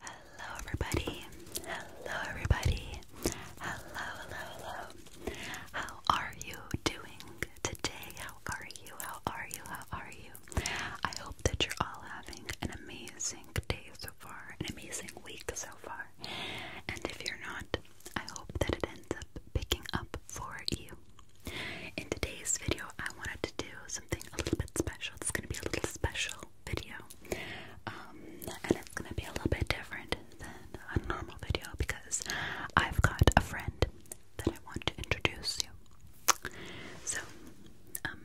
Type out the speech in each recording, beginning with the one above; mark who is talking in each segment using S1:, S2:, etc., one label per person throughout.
S1: Hello everybody. Hello everybody. Hello, hello, hello. How are you doing today? How are you? How are you? How are you? I hope that you're all having an amazing day so far, an amazing week so far. And if you're not, I hope that it ends up picking up for you. In today's video, I wanted to do something a little bit special. It's going to be a little special video. Um, and it's gonna be a little bit different than a normal video because I've got a friend that I want to introduce you. So, um,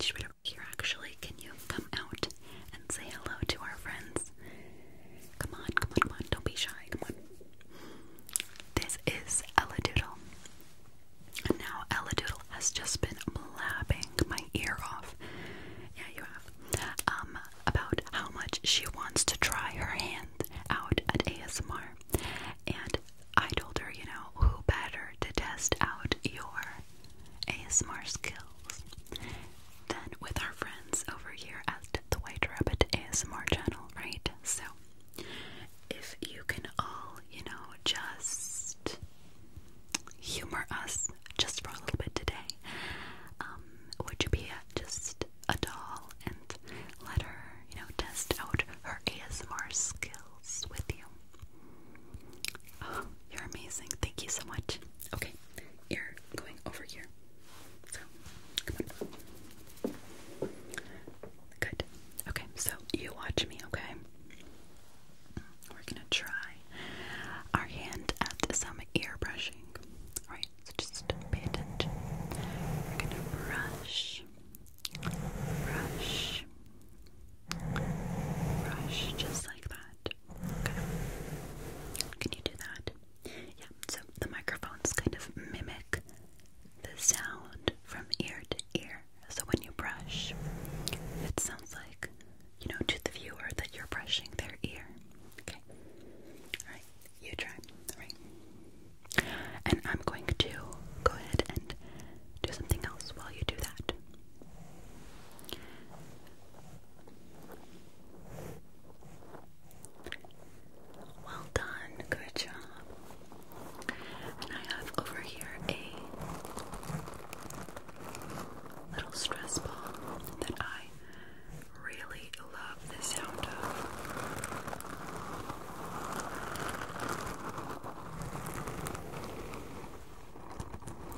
S1: she's right over here actually. Can you come out and say hello to our friends? Come on, come on, come on, don't be shy, come on. This is Ella Doodle. And now Doodle has just been blabbing my ear off. Yeah, you have. Um, about how much she wants to try her hand out at ASMR. And I told her, you know, who better to test out your ASMR skills than with our friends over here at the White Rabbit ASMR channel, right? So if you can all, you know, just humor us just for a little bit today, um, would you be just a doll and let her, you know, test out her ASMR skills with you? Oh, you're amazing. Thank you so much. Okay, you're going over here. So, Good. Okay, so you watch me, okay? We're gonna try our hand at some ear brushing. Alright, so just pay attention. We're gonna brush, brush, brush, just like that. Can you do that? Yeah, so the microphones kind of mimic the sound from ear to ear. So when you brush, it sounds like, you know, to the viewer that you're brushing their ear. Okay. Alright, you try. Alright. And I'm going to go ahead and do something else while you do that. Well done, good job. And I have over here a little stress ball that I really love the sound of.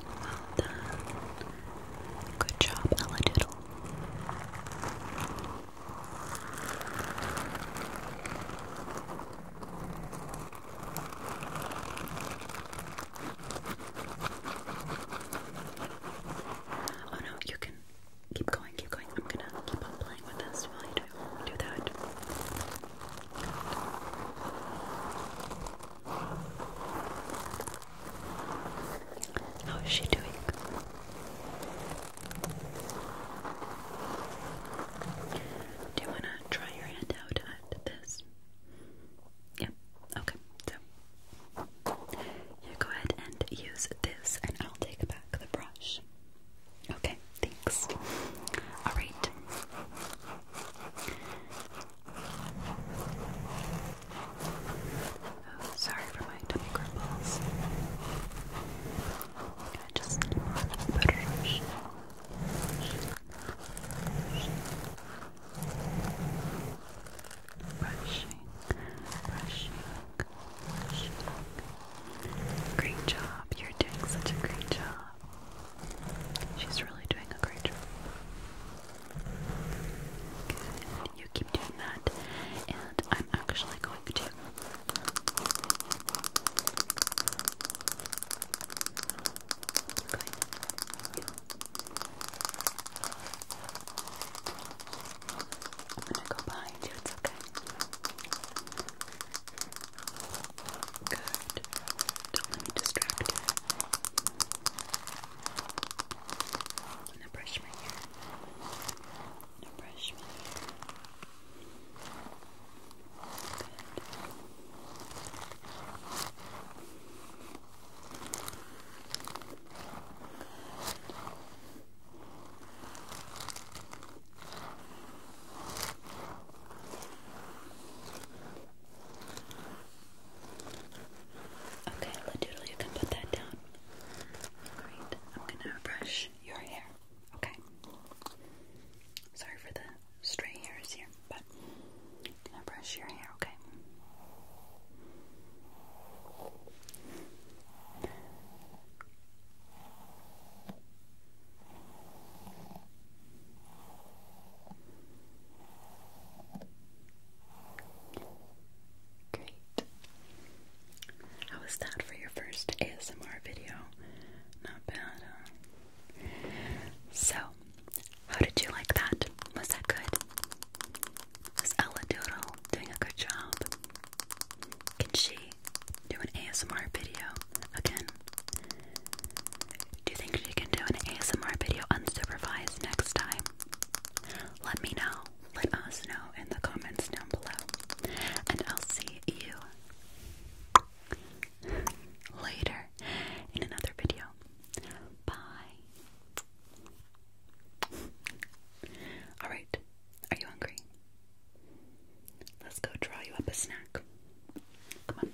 S1: Well done. Good job, Ella Diddle. Oh no, you can keep going, keep going. I'm gonna keep on playing with this while you do, do that. How is she doing? Do you want to try your hand out at this? Yeah, okay. So, you go ahead and use this, and I'll take back the brush. Okay, thanks. Alright. Oh, sorry for my tummy cripples. I just Brushing, brushing, brushing. Great job. You're doing such a great job. She's really doing a great job. You keep doing that. And I'm actually going to I'm gonna go behind you, it's okay. Good. Don't let me I'm gonna brush my hair. Now brush my hair. Okay, Laddoodle, you can put that down. Alright, I'm gonna brush your hair, okay? Sorry for the stray hairs here, but I'm gonna brush your hair, Okay. Great. How was that for your first ASMR video? Not bad, So, how did you like that? Was that good? Was Ella Doodle doing a good job? Can she do an ASMR video again? Do you think she can do an ASMR video unsupervised next time? Let me know let us know in the comments down below. And I'll see you later in another video. Bye. Alright, are you hungry? Let's go draw you up a snack. Come on.